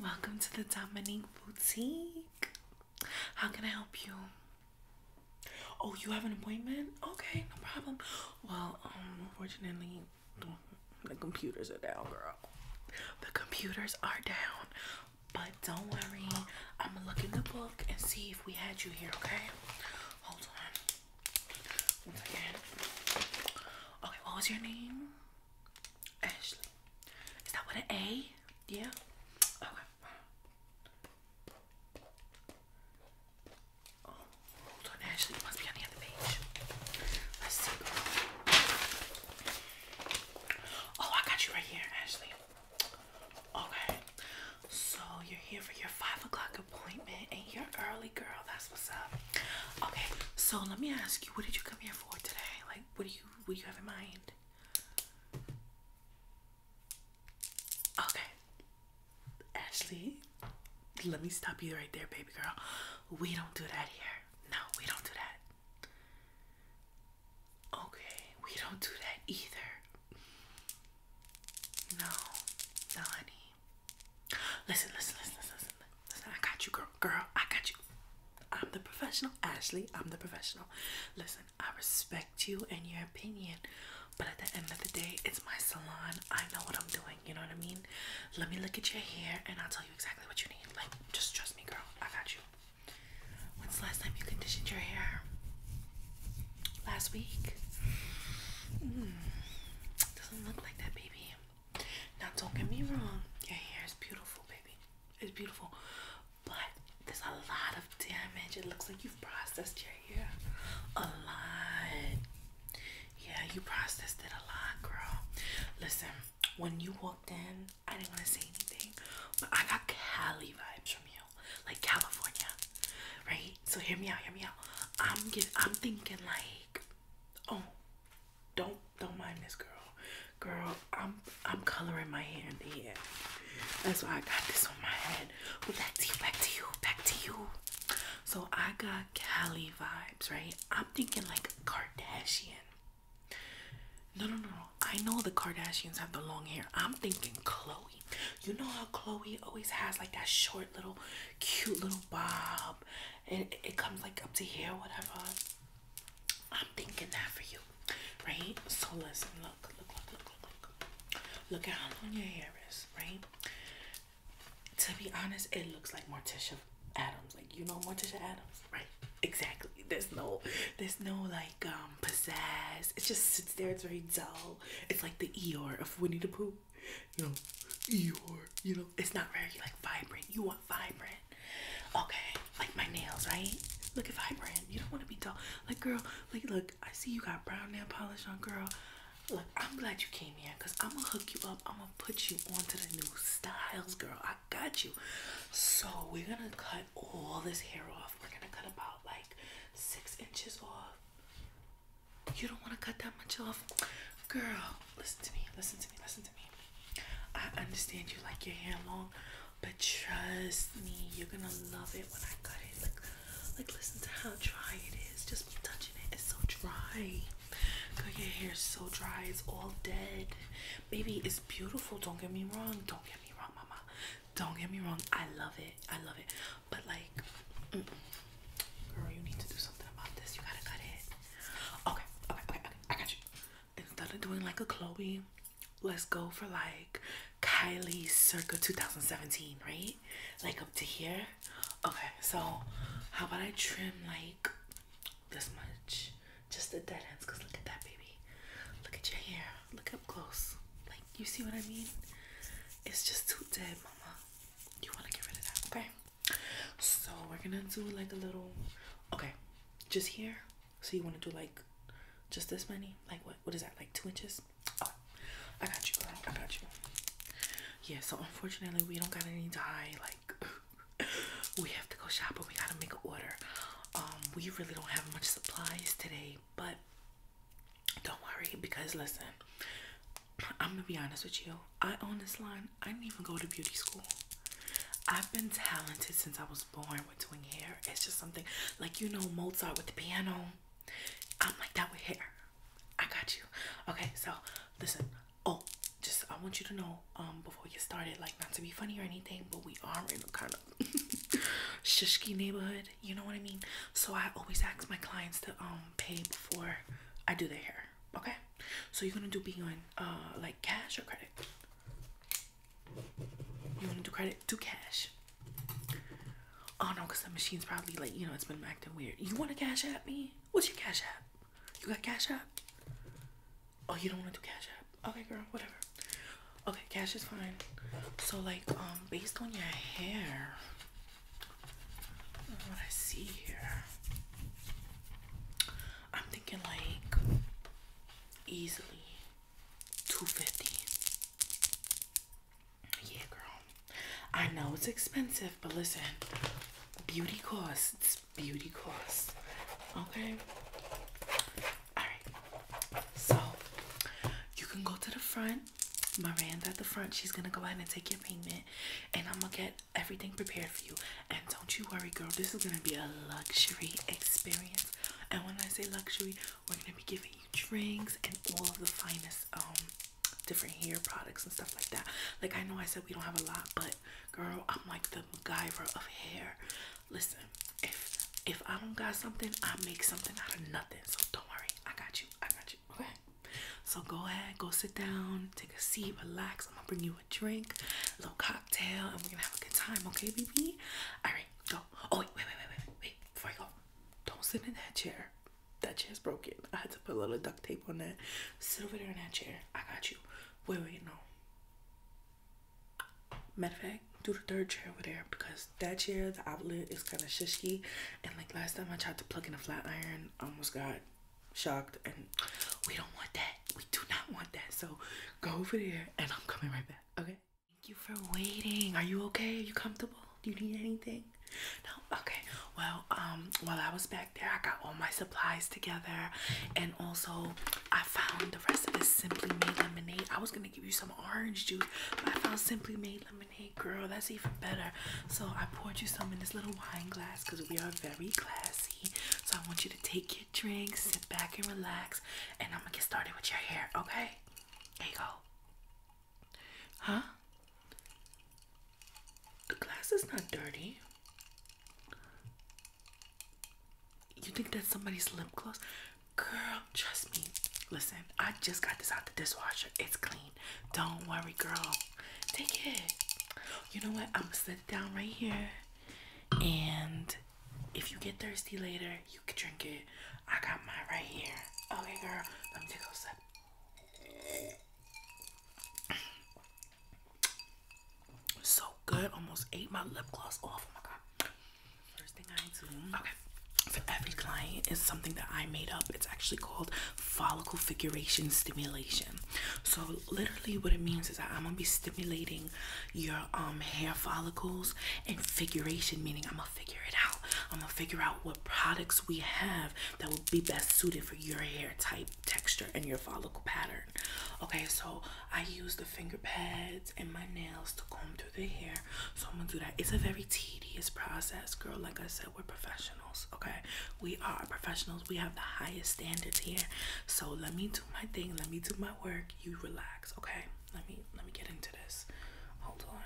Welcome to the Dominic Boutique. How can I help you? Oh, you have an appointment? Okay, no problem. Well, um, unfortunately, the computers are down, girl. The computers are down. But don't worry, I'm gonna look in the book and see if we had you here, okay? Hold on. Once again. Okay, what was your name? Ashley. Is that what an A? Yeah. Okay. Oh, hold on, Ashley. It must be on the other page. Let's see. Oh, I got you right here, Ashley. Okay. So you're here for your five o'clock appointment, and you're early, girl. That's what's up. Okay. So let me ask you, what did you come here for today? Like, what do you what do you have in mind? Okay. Ashley, let me stop you right there, baby girl. We don't do that here. No, we don't do that. Okay, we don't do that either. No, no, Listen, listen, listen, listen, listen. Listen, I got you, girl. Girl, I got you. I'm the professional. Ashley, I'm the professional. Listen, I respect you and your opinion, but at the end of the day, it's my salon. I know what I'm doing. You know what I mean? Let me look at your hair and I'll tell you exactly what you need. Like, just trust me, girl. I got you. When's the last time you conditioned your hair? Last week? Mm, doesn't look like that, baby. Now, don't get me wrong, your hair is beautiful, baby. It's beautiful, but there's a lot of damage. It looks like you've processed your hair a lot. Yeah, you processed it a lot, girl. Listen, when you walked in, I didn't want to say anything, but I got Cali vibes from you, like California, right? So hear me out, hear me out. I'm get, I'm thinking like, oh, don't don't mind this girl. Girl, I'm I'm coloring my hair in the hair. That's why I got this on my head. back to you, back to you, back to you. So I got Cali vibes, right? I'm thinking like Kardashian. No, no, no, I know the Kardashians have the long hair. I'm thinking Chloe. You know how Chloe always has like that short little, cute little bob, and it comes like up to here, whatever. I'm thinking that for you, right? So listen, look, look, look, look, look, look. Look at how long your hair is, right? To be honest, it looks like Morticia Adams. Like you know Morticia Adams, right? Exactly. There's no, there's no like um pizzazz. It just sits there. It's very dull. It's like the Eeyore of Winnie the Pooh. You know, Eeyore. You know, it's not very like vibrant. You want vibrant. Okay, like my nails, right? Look at vibrant. You don't want to be dull. Like, girl, like, look, I see you got brown nail polish on, girl. Look, I'm glad you came here because I'm going to hook you up. I'm going to put you onto the new styles, girl. I got you. So, we're going to cut all this hair off. We're going to cut about like six inches off. You don't want to cut that much off, girl listen to me, listen to me, listen to me. I understand you like your hair long, but trust me, you're gonna love it when I cut it. Like, like listen to how dry it is. Just touching it. It's so dry. your hair is so dry. It's all dead. Baby, it's beautiful. Don't get me wrong. Don't get me wrong, mama. Don't get me wrong. I love it. I love it. But like, girl, you need to do something about this. You gotta cut it. Okay, okay, okay, okay. I got you instead of doing like a Chloe, let's go for like Kylie circa 2017, right? Like up to here. Okay, so how about I trim like this much? Just the dead ends, because look at that baby. Look at your hair. Look up close. Like you see what I mean? It's just too dead, mama. You wanna get rid of that, okay? So we're gonna do like a little okay, just here. So you wanna do like just this many? Like what what is that? Like two inches? I got you I got you. Yeah, so unfortunately we don't got any dye, like we have to go shopping, we gotta make an order. Um, we really don't have much supplies today, but don't worry because listen, I'm gonna be honest with you. I own this line I didn't even go to beauty school. I've been talented since I was born with doing hair. It's just something like you know Mozart with the piano. I'm like that with hair. I got you. Okay, so listen. Oh, just I want you to know um before you get started, like not to be funny or anything, but we are in a kind of shishke neighborhood. You know what I mean? So I always ask my clients to um pay before I do their hair. Okay, so you're gonna do behind uh like cash or credit you want to do credit do cash oh no because the machine's probably like you know it's been acting weird you want to cash at me what's your cash app you got cash app oh you don't want to do cash app okay girl whatever okay cash is fine so like um based on your hair what i see here I'm thinking like easily 250 yeah girl I know it's expensive but listen beauty costs beauty costs okay all right so you can go to the front Miranda at the front she's gonna go ahead and take your payment and I'm gonna get everything prepared for you. And don't you worry, girl, this is going to be a luxury experience. And when I say luxury, we're going to be giving you drinks and all of the finest um different hair products and stuff like that. Like I know I said we don't have a lot, but girl, I'm like the MacGyver of hair. Listen, if if I don't got something, I make something out of nothing. So don't worry, I got you. I got you. Okay. So go ahead, go sit down, take a seat, relax. I'm gonna bring you a drink, a little cocktail, and we're gonna have a good time, okay, BB? Alright, go. Oh, wait, wait, wait, wait, wait, before I go, don't sit in that chair. That chair's broken. I had to put a little duct tape on that. Sit over there in that chair. I got you. Wait, wait, no. Matter of fact, do the third chair over there because that chair, the outlet is kind of shishky. And like last time I tried to plug in a flat iron, I almost got shocked and we don't want that. We do not want that. So go over there and I'm coming right back. Okay. Thank you for waiting. Are you okay? Are you comfortable? Do you need anything? No? Okay. Well, um, while I was back there, I got all my supplies together and also I found the rest of this Simply Made lemonade. I was gonna give you some orange juice, but I found Simply Made lemonade, girl. That's even better. So I poured you some in this little wine glass because we are very classy. So I want you to take your drink, sit back and relax, and I'm gonna get started with your hair, okay? There you go. Huh? The glass is not dirty. You think that's somebody's lip gloss? Girl, trust me. Listen, I just got this out the dishwasher. It's clean. Don't worry, girl. Take it. You know what? I'm gonna set it down right here. And if you get thirsty later, you can drink it. I got mine right here. Okay, girl. Let me take a sip. So good. Almost ate my lip gloss off. Oh my god. First thing I do. Mm-hmm. Okay. For every client is something that I made up. It's actually called follicle figuration stimulation. So literally what it means is I'm gonna be stimulating your um hair follicles and figuration, meaning I'm gonna figure it out. I'm gonna figure out what products we have that will be best suited for your hair type, texture, and your follicle pattern. Okay, so I use the finger pads and my nails to comb through the hair. So I'm gonna do that. It's a very tedious process, girl. Like I said, we're professional okay? We are professionals. We have the highest standards here. So let me do my thing. Let me do my work. You relax, okay? Let me let me get into this. Hold on.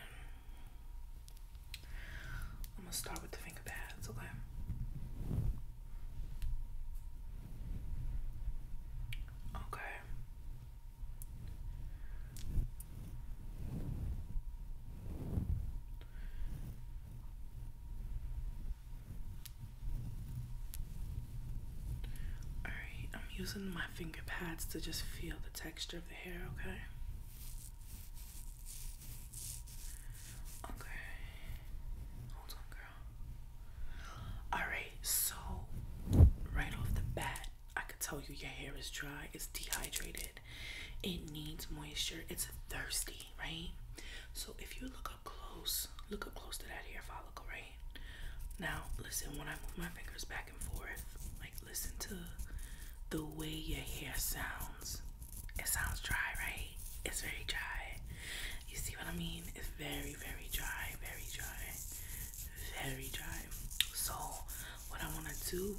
I'm gonna start with the finger pads, okay? Okay. Alright, I'm using my finger pads to just feel the texture of the hair, okay? Okay. Hold on, girl. Alright, so right off the bat, I can tell you your hair is dry, it's dehydrated. It needs moisture. It's thirsty, right? So if you look up close, look up close to that hair follicle, right? Now listen when I move my fingers back and forth, like listen to the way your hair sounds. It sounds dry, right? It's very dry. You see what I mean? It's very, very dry, very dry, very dry. So what I wanna do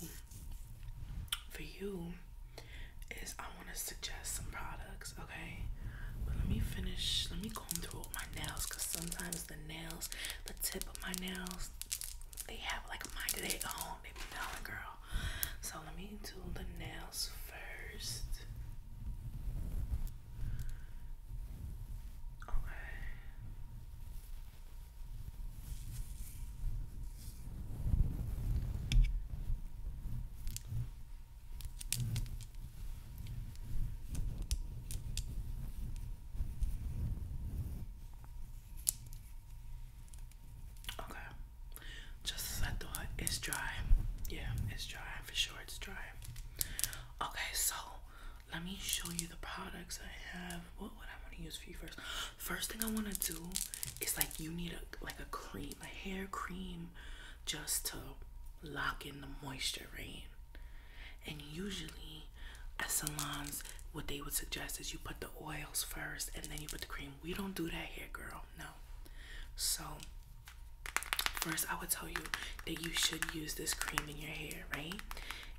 for you is I want to suggest some products, okay? But let me finish, let me comb through all my nails because sometimes the nails, the tip of my nails, they have like a mind of their own. They be telling girl. So let me do the nails first. Okay. Okay, just as I it's dry. Yeah, it's dry for sure. It's dry. Okay, so let me show you the products I have. What would I want to use for you first? First thing I want to do is like you need a like a cream, a hair cream just to lock in the moisture, right? And usually at salons what they would suggest is you put the oils first and then you put the cream. We don't do that here, girl. No. So first I would tell you that you should use this cream in your hair, right?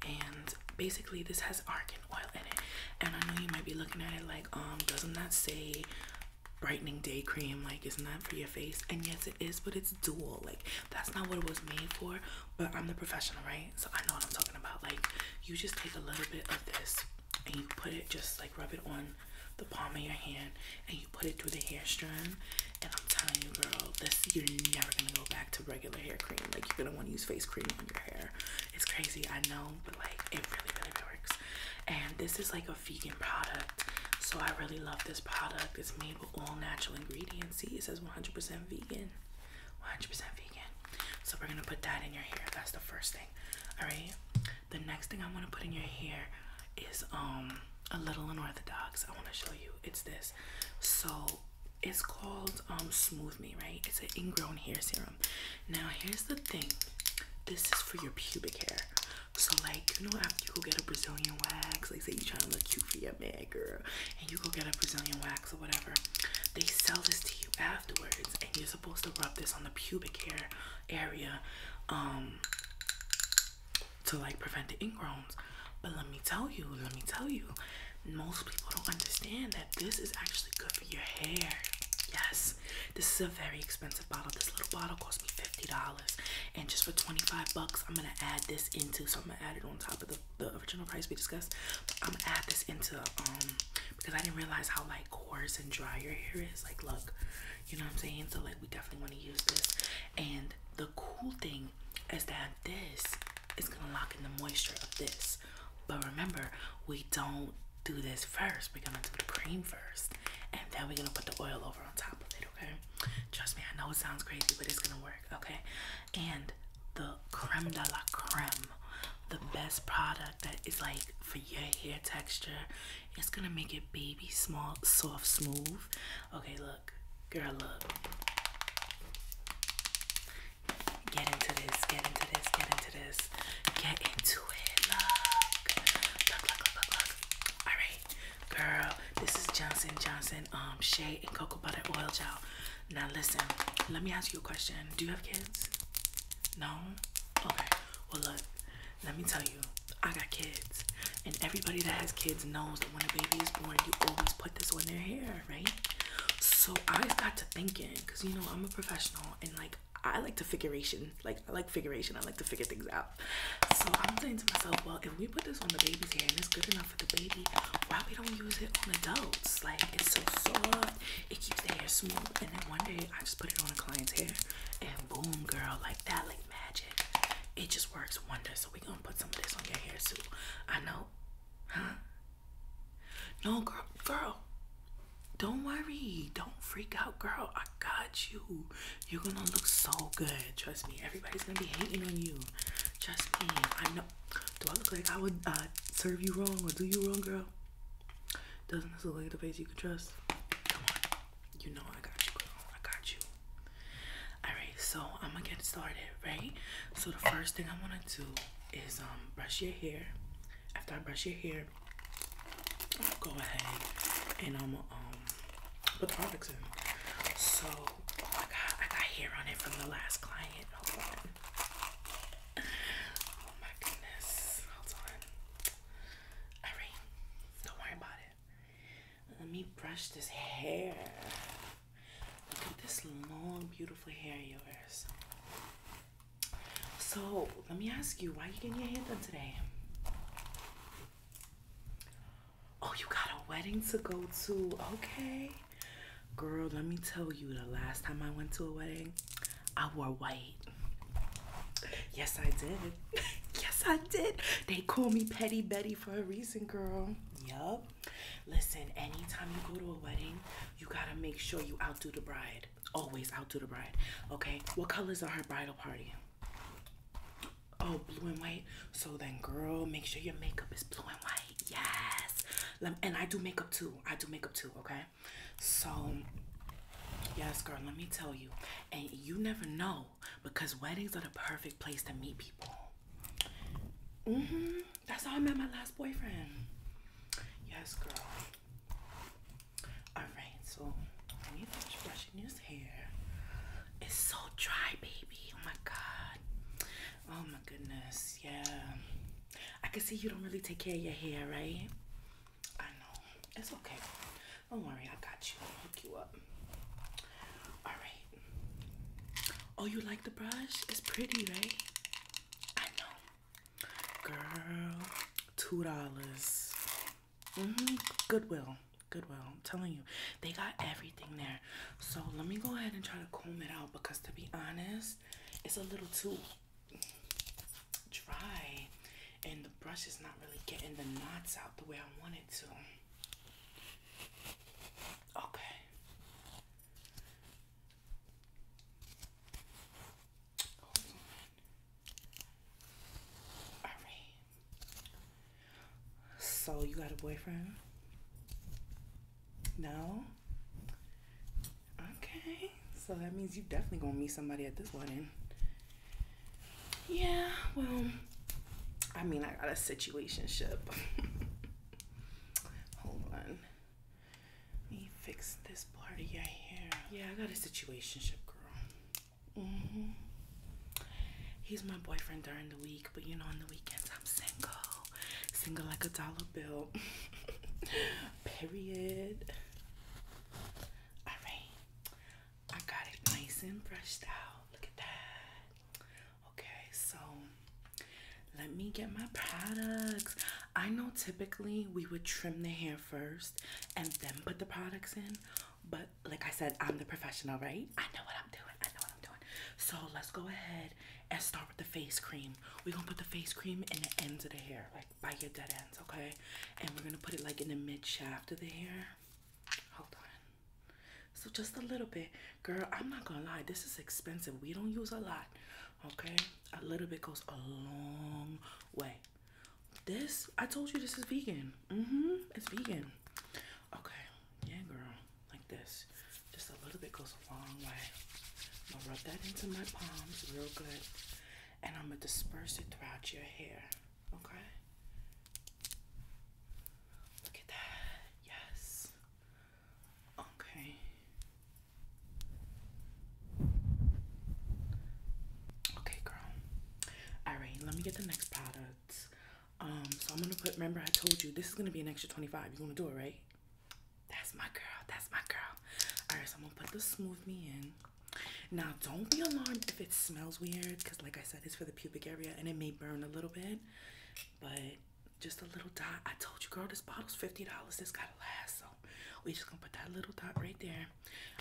And basically this has argan oil in it. And I know you might be looking at it like, um, doesn't that say brightening day cream? Like, isn't that for your face? And yes, it is, but it's dual. Like, that's not what it was made for. But I'm the professional, right? So I know what I'm talking about. Like, you just take a little bit of this and you put it, just like rub it on the palm of your hand and you put it through the hair strand. And I'm telling you, girl, this you're never gonna go back to regular hair cream. Like, you're gonna want to use face cream on your hair. It's crazy, I know, but like it really, really works. And this is like a vegan product, so I really love this product. It's made with all natural ingredients. See, it says 100% vegan, 100% vegan. So we're gonna put that in your hair. That's the first thing. All right. The next thing I want to put in your hair is um a little unorthodox. I want to show you. It's this. So it's called um Smooth Me, right? It's an ingrown hair serum. Now here's the thing. This is for your pubic hair. So like, you know, after you go get a Brazilian wax, like say you're trying to look cute for your man girl, and you go get a Brazilian wax or whatever, they sell this to you afterwards, and you're supposed to rub this on the pubic hair area, um, to like prevent the ingrowns. But let me tell you, let me tell you, most people don't understand that this is actually good for your hair. Yes, this is a very expensive bottle. This little bottle cost me $50. And just for 25 bucks, I'm gonna add this into so I'm gonna add it on top of the, the original price we discussed. I'm gonna add this into um because I didn't realize how like coarse and dry your hair is. Like look, you know what I'm saying? So like we definitely want to use this. And the cool thing is that this is gonna lock in the moisture of this. But remember, we don't do this first. We're gonna do the cream first, and then we're gonna put the oil over on top of it, okay? Trust me, I know it sounds crazy, but it's gonna work, okay? And the creme de la creme, the best product that is like for your hair texture, it's gonna make it baby small, soft, smooth. Okay, look, girl, look. Get into this, get into this, get into this, get into it. Look, look, look, look, look. All right, girl. This is Johnson Johnson, um, shea and cocoa butter oil gel. Now listen, let me ask you a question. Do you have kids? No. Okay. Well, look. Let me tell you, I got kids, and everybody that has kids knows that when a baby is born, you always put this on their hair, right? So I got to thinking, cause you know I'm a professional, and like I like to figuration. Like I like figuration. I like to figure things out. So I'm saying to myself, well, if we put this on the baby's hair and it's good enough for the baby, why we don't use it on adults? Like it's so soft, it keeps the hair smooth. And then one day I just put it on a client's hair, and boom, girl, like that, like magic. It just works wonders. So we gonna put some of this on your hair too. I know, huh? No, girl, girl, don't worry. Don't freak out, girl. I got you. You're gonna look so good. Trust me. Everybody's gonna be hating on you. Trust me. I know. Do I look like I would uh, serve you wrong or do you wrong, girl? Doesn't this look like the face you can trust? Come on. You know I got you, girl. I got you. Alright, so I'm gonna get started, right? So the first thing I wanna do is um brush your hair after I brush your hair, I'll go ahead and I'm gonna um, put the products in. So I got I got hair on it from the last client. Hold on. Oh my goodness. Hold on. Alright. Don't worry about it. Let me brush this hair. Look at this long, beautiful hair of yours. So let me ask you, why are you getting your hair done today? Oh, you got a wedding to go to. Okay. Girl, let me tell you, the last time I went to a wedding, I wore white. Yes, I did. yes, I did. They call me Petty Betty for a reason, girl. Yup. Listen, anytime you go to a wedding, you gotta make sure you outdo the bride. Always I'll do the bride. Okay, what colors are her bridal party? Oh, blue and white. So then, girl, make sure your makeup is blue and white. Yes. And I do makeup too. I do makeup too, okay? So, yes, girl, let me tell you. And you never know because weddings are the perfect place to meet people. Mm hmm that's how I met my last boyfriend. Yes, girl. Alright, so I when you finish brushing his hair, it's so dry, baby. Oh my god. Oh my goodness. Yeah. I can see you don't really take care of your hair, right? I know. It's okay. Don't worry, I got you. I'll hook you up. Alright. Oh, you like the brush? It's pretty, right? I know. Girl, two dollars. -hmm. Goodwill. Goodwill. I'm telling you, they got everything there. So let me go ahead and try to comb it out because to be honest, it's a little too dry and the brush is not really getting the knots out the way I want it to. Okay. So, you got a boyfriend? No? Okay. So, that means you definitely gonna meet somebody at this wedding. Yeah, well, I mean, I got a situation ship. Hold on. Let me fix this part of your hair. Yeah, I got a situationship girl. Mm-hmm. He's my boyfriend during the week, but you know, on the weekends I'm single. Single like a dollar bill. Period. Alright. I got it nice and brushed out. Look at that. Okay, so let me get my products. I know typically we would trim the hair first and then put the products in, but like I said, I'm the professional, right? I know what I'm doing. I know what I'm doing. So let's go ahead and start with the face cream. We're gonna put the face cream in the ends of the hair, like by your dead ends, okay? And we're gonna put it like in the mid shaft of the hair. Hold on. So just a little bit. Girl, I'm not gonna lie, this is expensive. We don't use a lot, Okay, a little bit goes a long way. This, I told you, this is vegan. Mm hmm, it's vegan. Okay, yeah, girl, like this. Just a little bit goes a long way. I'm gonna rub that into my palms real good, and I'm gonna disperse it throughout your hair. Okay. Look at that. Yes. Okay. Okay, girl. Alright, let me get the next product. Um, so I'm gonna put remember I told you this is gonna be an extra 25. You wanna do it, right? That's my girl, that's my girl. Alright, so I'm gonna put the smooth me in. Now don't be alarmed if it smells weird, because like I said, it's for the pubic area and it may burn a little bit, but just a little dot. I told you, girl, this bottle's $50. This gotta last. So we just gonna put that little dot right there.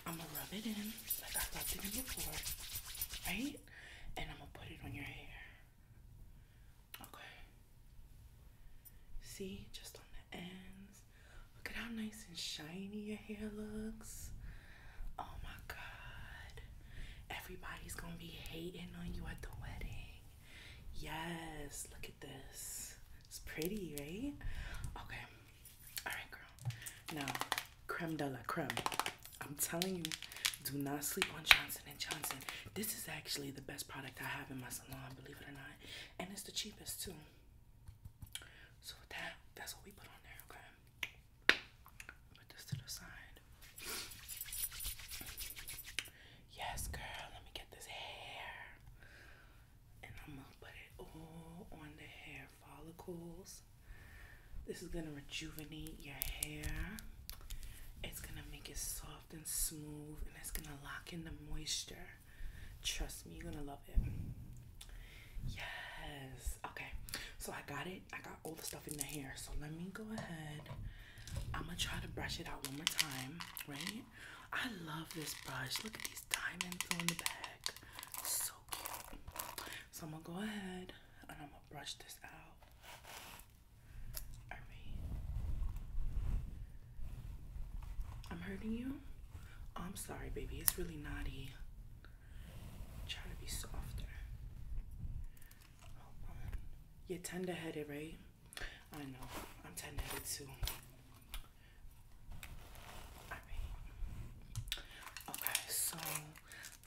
I'm gonna rub it in like I rubbed it in before, right? And I'm gonna put it on your hair. Okay. See, just on the ends. Look at how nice and shiny your hair looks. Oh my god. Everybody's gonna be hating on you at the wedding. Yes, look at this. It's pretty, right? Okay. Alright, girl. Now, creme de la creme. I'm telling you, do not sleep on Johnson & Johnson. This is actually the best product I have in my salon, believe it or not. And it's the cheapest, too. So that, that's what we put on there, okay? Put this to the side. Yes, girl, let me get this hair. And I'm gonna put it all on the hair follicles. This is gonna rejuvenate your hair. It's gonna make it soft and smooth and it's gonna lock in the moisture. Trust me, you're gonna love it. Yes. Okay. So I got it. I got all the stuff in the hair. So let me go ahead. I'm gonna try to brush it out one more time, right? I love this brush. Look at these diamonds on the back. So cute. So I'm gonna go ahead and I'm gonna brush this out. All right. I'm hurting you. I'm sorry, baby. It's really naughty. Try to be softer. You're tender headed, right? I know. I'm tired of two. Okay, so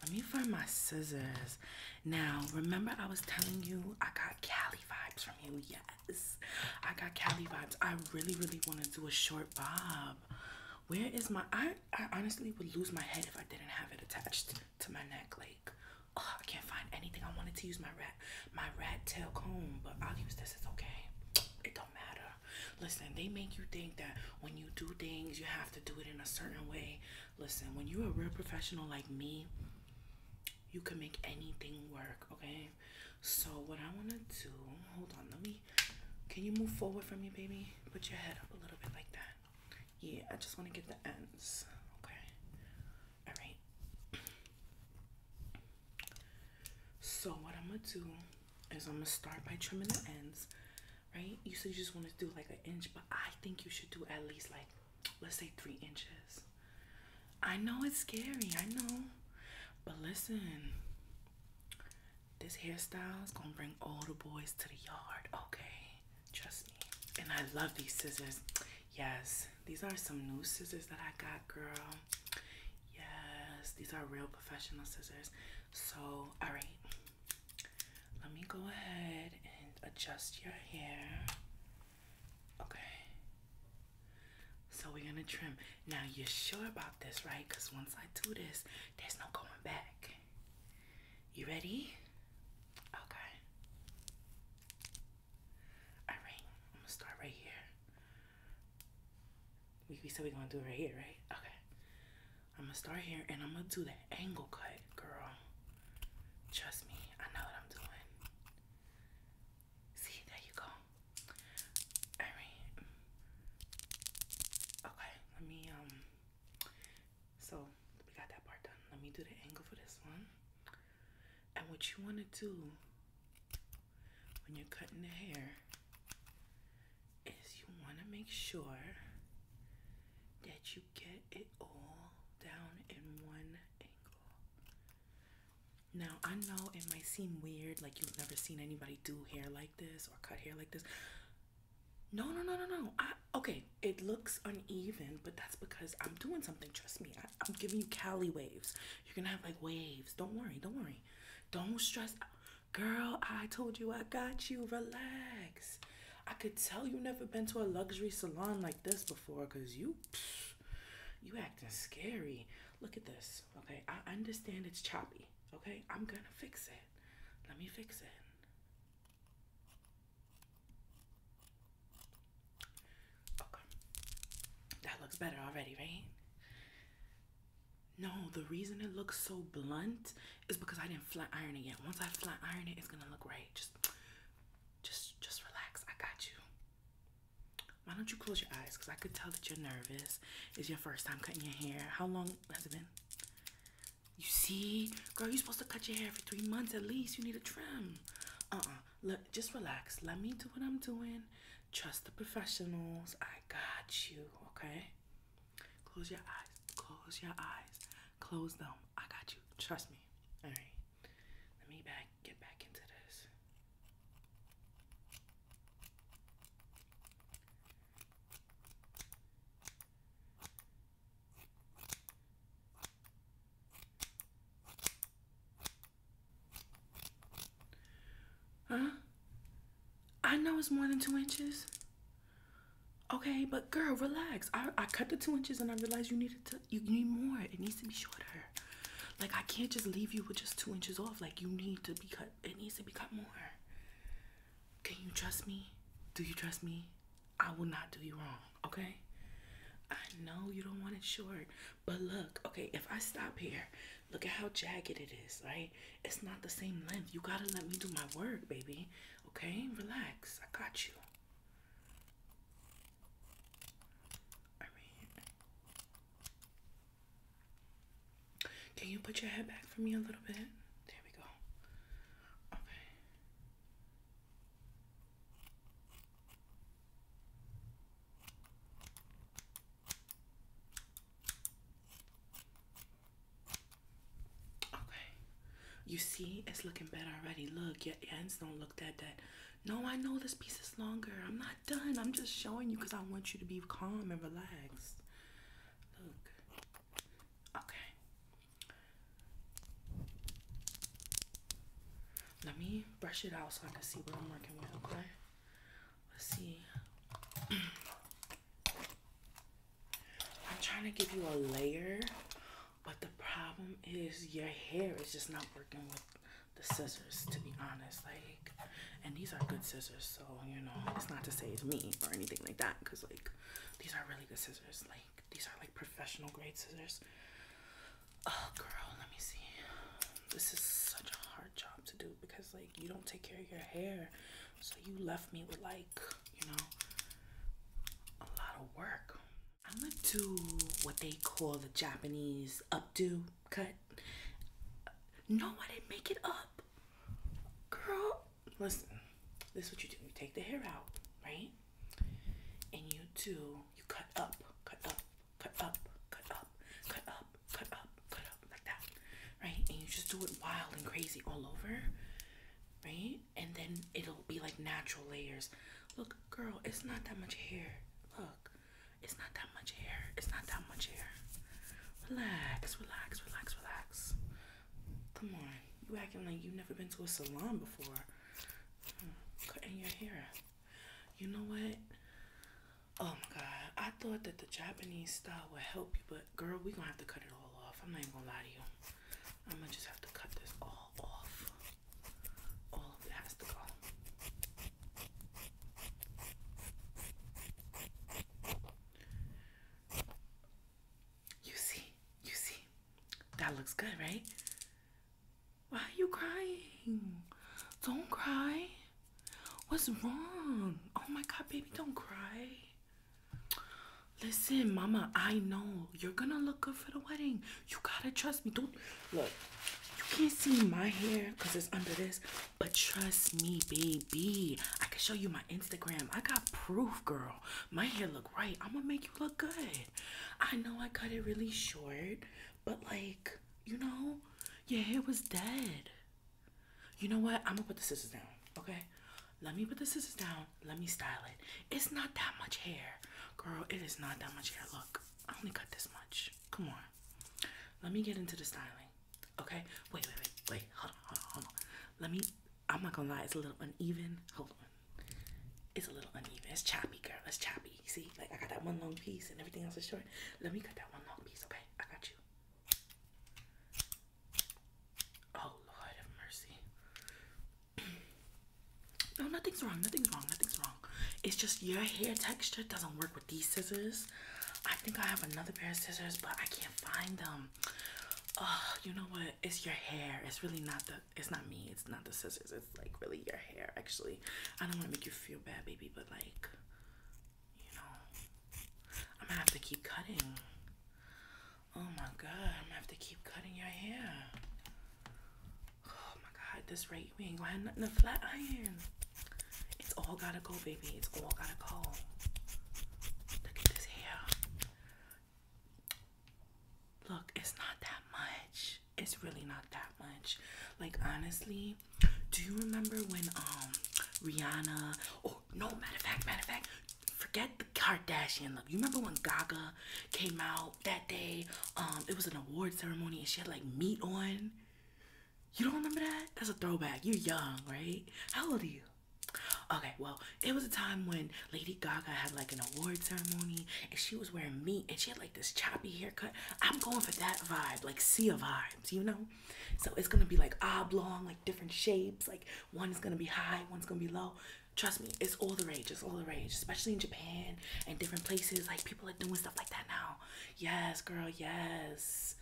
let me find my scissors. Now, remember I was telling you I got Cali vibes from you. Yes. I got Cali vibes. I really, really want to do a short bob. Where is my I I honestly would lose my head if I didn't have it attached to my neck. Like Oh, I can't find anything. I wanted to use my rat, my rat tail comb, but I'll use this. It's okay. It don't matter. Listen, they make you think that when you do things, you have to do it in a certain way. Listen, when you're a real professional like me, you can make anything work. Okay. So what I wanna do? Hold on. Let me. Can you move forward from me, baby? Put your head up a little bit like that. Yeah, I just want to get the ends. Okay. All right. So what I'm gonna do is I'm gonna start by trimming the ends, right? You said you just want to do like an inch, but I think you should do at least like, let's say three inches. I know it's scary, I know, but listen, this hairstyle is gonna bring all the boys to the yard, okay? Trust me. And I love these scissors. Yes, these are some new scissors that I got, girl. Yes, these are real professional scissors. So, all right, let me go ahead and adjust your hair. Okay. So we're gonna trim. Now you're sure about this, right? Because once I do this, there's no going back. You ready? Okay. All right, I'm gonna start right here. We, we said we're gonna do it right here, right? Okay. I'm gonna start here and I'm gonna do the angle cut, girl. Trust me, I know what I'm doing. See, there you go. All right. Okay, let me, um, so we got that part done. Let me do the angle for this one. And what you want to do when you're cutting the hair is you want to make sure that you get it all down in one angle. Now, I know it might seem weird, like you've never seen anybody do hair like this or cut hair like this. No, no, no, no, no. okay, it looks uneven, but that's because I'm doing something. Trust me, I'm giving you Cali waves. You're gonna have like waves. Don't worry, don't worry. Don't stress out. Girl, I told you I got you. Relax. I could tell you never been to a luxury salon like this before because you psh, you acting scary. Look at this. Okay, I understand it's choppy. Okay, I'm gonna fix it. Let me fix it. Okay. That looks better already, right? No, the reason it looks so blunt is because I didn't flat iron it yet. Once I flat iron it, it's gonna look right. Just just just relax. I got you. Why don't you close your eyes? Because I could tell that you're nervous. It's your first time cutting your hair. How long has it been? You see? Girl, you're supposed to cut your hair for three months at least. You need a trim uh-uh look just relax let me do what i'm doing trust the professionals i got you okay close your eyes close your eyes close them i got you trust me all right let me back get back into this Huh? I know it's more than two inches. Okay, but girl, relax. I, I cut the two inches and I realized you needed to you need more. It needs to be shorter. Like I can't just leave you with just two inches off. Like you need to be cut. It needs to be cut more. Can you trust me? Do you trust me? I will not do you wrong, okay? I know you don't want it short, but look, okay, if I stop here, look at how jagged it is, right? It's not the same length. You gotta let me do my work, baby, okay? Relax, I got you. I mean, can you put your head back for me a little bit? There we go. Okay. Okay, you see, it's looking better already. Look, your ends don't look that bad. No, I know this piece is longer. I'm not done. I'm just showing you because I want you to be calm and relaxed. Look, okay, let me brush it out so I can see what I'm working with, okay? Let's see. I'm trying to give you a layer, but the problem is your hair is just not working with the scissors, to be honest. Like, and these are good scissors, so you know, it's not to say it's me or anything like that, because like these are really good scissors. Like, these are like professional grade scissors. Oh, girl, let me see. This is such a hard job to do because, like, you don't take care of your hair. So you left me with, like, you know, a lot of work. I'm gonna do what they call the Japanese updo cut. No, I didn't make it up. Girl, listen, this is what you do. You take the hair out, right? and you do you cut up, cut up, cut up, cut up, cut up, cut up, cut up like that, right? And you just do it wild and crazy all over, right? And then it'll be like natural layers. Look, girl, it's not that much hair. Look, it's not that much hair. It's not that much hair. Relax, relax, relax, relax. Come on, you acting like you've never been to a salon before cutting your hair. You know what? Oh my god, I thought that the Japanese style would help you, but girl, we're gonna have to cut it all off. I'm not even gonna lie to you. I'm gonna just have to cut this all off. All of it has to go. You see, you see, that looks good, right? Why are you crying? Don't cry. What's wrong? Oh my god, baby, don't cry. Listen, mama, I know you're gonna look good for the wedding. You gotta trust me. Don't look, you can't see my hair because it's under this, but trust me, baby. I can show you my Instagram. I got proof, girl. My hair look right. I'm gonna make you look good. I know I cut it really short, but like, you know, your hair was dead. You know what? I'm gonna put the scissors down, okay? Let me put the scissors down. Let me style it. It's not that much hair. Girl, it is not that much hair. Look, I only cut this much. Come on. Let me get into the styling. Okay? Wait, wait, wait, wait. Hold on, hold on, hold on. Let me I'm not gonna lie, it's a little uneven. Hold on. It's a little uneven. It's choppy, girl. It's choppy. See, like I got that one long piece and everything else is short. Let me cut that one long piece, okay? I got you. Oh Lord have mercy. no, nothing's wrong, nothing's wrong, nothing's wrong. It's just your hair texture doesn't work with these scissors. I think I have another pair of scissors, but I can't find them. Oh, you know what? It's your hair. It's really not the it's not me, it's not the scissors, it's like really your hair. Actually, I don't want to make you feel bad, baby, but like, you know, I'm gonna have to keep cutting. Oh my god, I'm gonna have to keep cutting your hair. Oh my god, this rate we ain't gonna have nothing flat iron. It's all gotta go, baby. It's all gotta go. Look at this hair. Look, it's not that much. It's really not that much. Like honestly, do you remember when um Rihanna or no matter fact, matter fact, forget the Kardashian look. You remember when Gaga came out that day? Um, it was an award ceremony and she had like meat on. You don't remember that? That's a throwback. You're young, right? How old are you? Okay, well, it was a time when Lady Gaga had like an award ceremony and she was wearing meat and she had like this choppy haircut. I'm going for that vibe, like sea of vibes, you know? So it's gonna be like oblong, like different shapes, like one's gonna be high, one's gonna be low. Trust me, it's all the rage, it's all the rage, especially in Japan and different places. Like people are doing stuff like that now. Yes, girl, yes.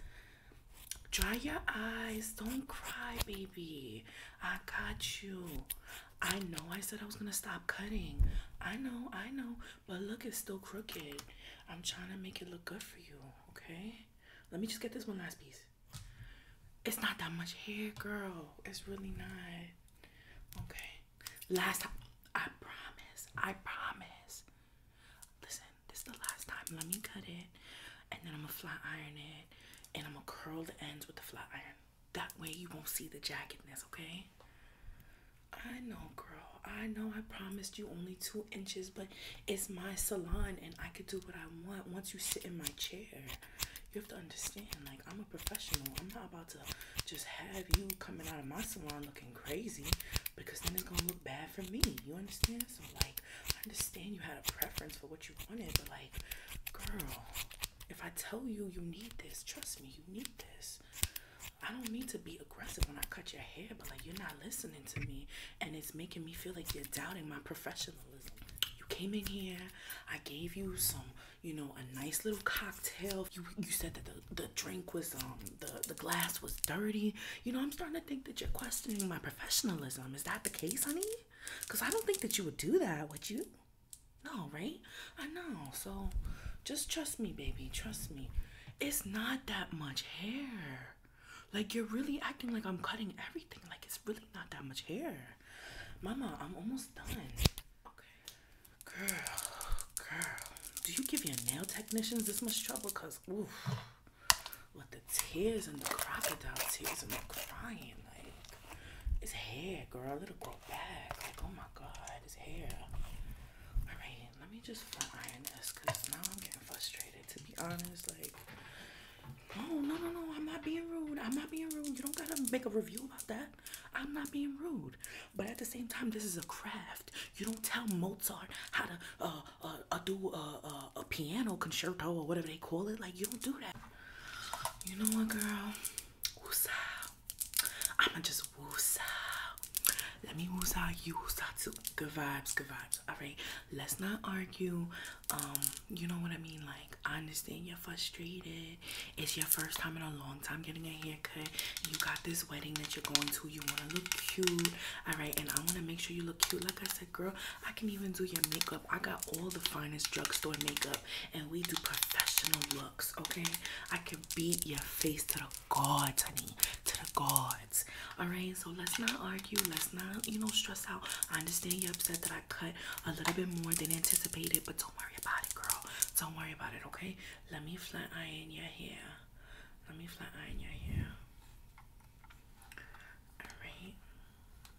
Dry your eyes. Don't cry, baby. I got you. I know I said I was gonna stop cutting. I know, I know, but look, it's still crooked. I'm trying to make it look good for you, okay? Let me just get this one last piece. It's not that much hair, girl. It's really not. Okay. Last time, I promise. I promise. Listen, this is the last time. Let me cut it, and then I'm gonna flat iron it, and I'm gonna curl the ends with the flat iron. That way you won't see the jaggedness, okay? I know, girl. I know I promised you only two inches, but it's my salon and I could do what I want once you sit in my chair. You have to understand, like, I'm a professional. I'm not about to just have you coming out of my salon looking crazy because then it's gonna look bad for me. You understand? So, like, I understand you had a preference for what you wanted, but, like, girl, if I tell you you need this, trust me, you need this. I don't need to be aggressive when I cut your hair, but like you're not listening to me, and it's making me feel like you're doubting my professionalism. You came in here, I gave you some, you know, a nice little cocktail. You you said that the, the drink was um the, the glass was dirty. You know, I'm starting to think that you're questioning my professionalism. Is that the case, honey? Because I don't think that you would do that, would you? No, right? I know. So just trust me, baby. Trust me. It's not that much hair. Like, you're really acting like I'm cutting everything. Like, it's really not that much hair. Mama, I'm almost done. Okay. Girl, girl. Do you give your nail technicians this much trouble? Because, oof. With the tears and the crocodile tears and the crying, like. His hair, girl, it'll grow back. Like, oh my god, his hair. Alright, let me just flat iron this because now I'm getting frustrated to be honest. Like, oh no, no, no, I'm not being rude. I'm not being rude. You don't gotta make a review about that. I'm not being rude. But at the same time, this is a craft. You don't tell Mozart how to uh, uh, uh do a, uh, a piano concerto or whatever they call it. Like, you don't do that. You know what, girl? Woosa. I'ma just woosa. Let me woosa, you woosa too. Good vibes, good vibes. All right, let's not argue. Um, you know what I mean? Like, I understand you're frustrated. It's your first time in a long time getting a haircut. You got this wedding that you're going to. You wanna look cute, all right? And I wanna make sure you look cute. Like I said, girl, I can even do your makeup. I got all the finest drugstore makeup and we do professional looks, okay? I can beat your face to the gods, honey, to the gods. Alright, so let's not argue. Let's not, you know, stress out. I understand you're upset that I cut a little bit more than anticipated, but don't worry about it, girl. Don't worry about it, okay? Let me flat iron your hair. Let me flat iron your hair. Alright.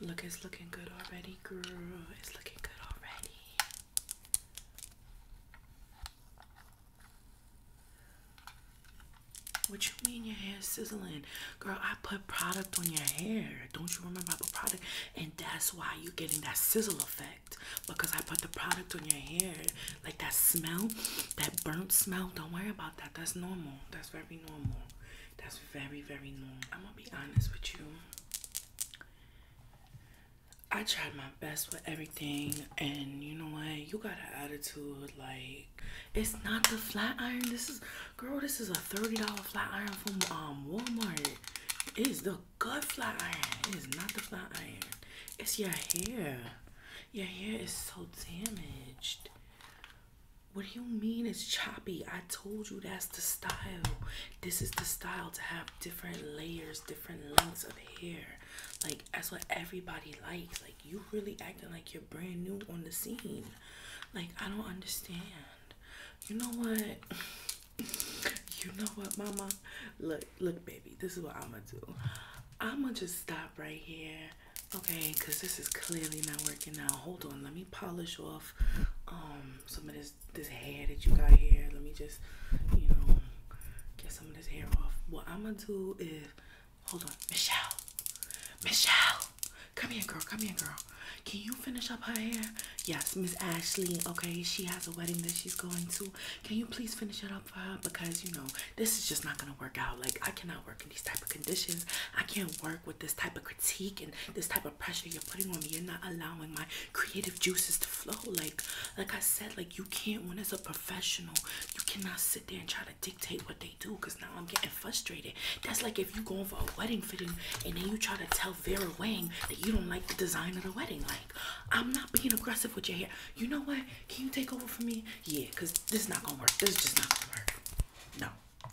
Look, it's looking good already, girl. It's looking good already. What you mean your hair sizzling? Girl, I put product on your hair. Don't you remember I put product? And that's why you're getting that sizzle effect. Because I put the product on your hair. Like that smell, that burnt smell. Don't worry about that. That's normal. That's very normal. That's very, very normal. I'm gonna be honest with you. I tried my best with everything, and you know what? You got an attitude like it's not the flat iron. This is, girl, this is a $30 flat iron from um, Walmart. It is the good flat iron. It is not the flat iron. It's your hair. Your hair is so damaged. What do you mean it's choppy? I told you that's the style. This is the style to have different layers, different lengths of hair. Like that's what everybody likes. Like you really acting like you're brand new on the scene. Like I don't understand. You know what? you know what, mama? Look, look, baby. This is what I'ma do. I'ma just stop right here. Okay, because this is clearly not working out. Hold on, let me polish off um some of this this hair that you got here. Let me just, you know, get some of this hair off. What I'm gonna do is hold on, Michelle. Michelle, come here, girl. Come here, girl. Can you finish up her hair? Yes, Miss Ashley. Okay, she has a wedding that she's going to. Can you please finish it up for her? Because you know, this is just not gonna work out. Like I cannot work in these type of conditions. I can't work with this type of critique and this type of pressure you're putting on me. You're not allowing my creative juices to flow. Like, like I said, like you can't when as a professional, you cannot sit there and try to dictate what they do because now I'm getting frustrated. That's like if you are going for a wedding fitting and then you try to tell Vera Wang that you don't like the design of the wedding. Like, I'm not being aggressive with your hair. You know what? Can you take over for me? Yeah, because this is not gonna work. This is just not gonna work. No.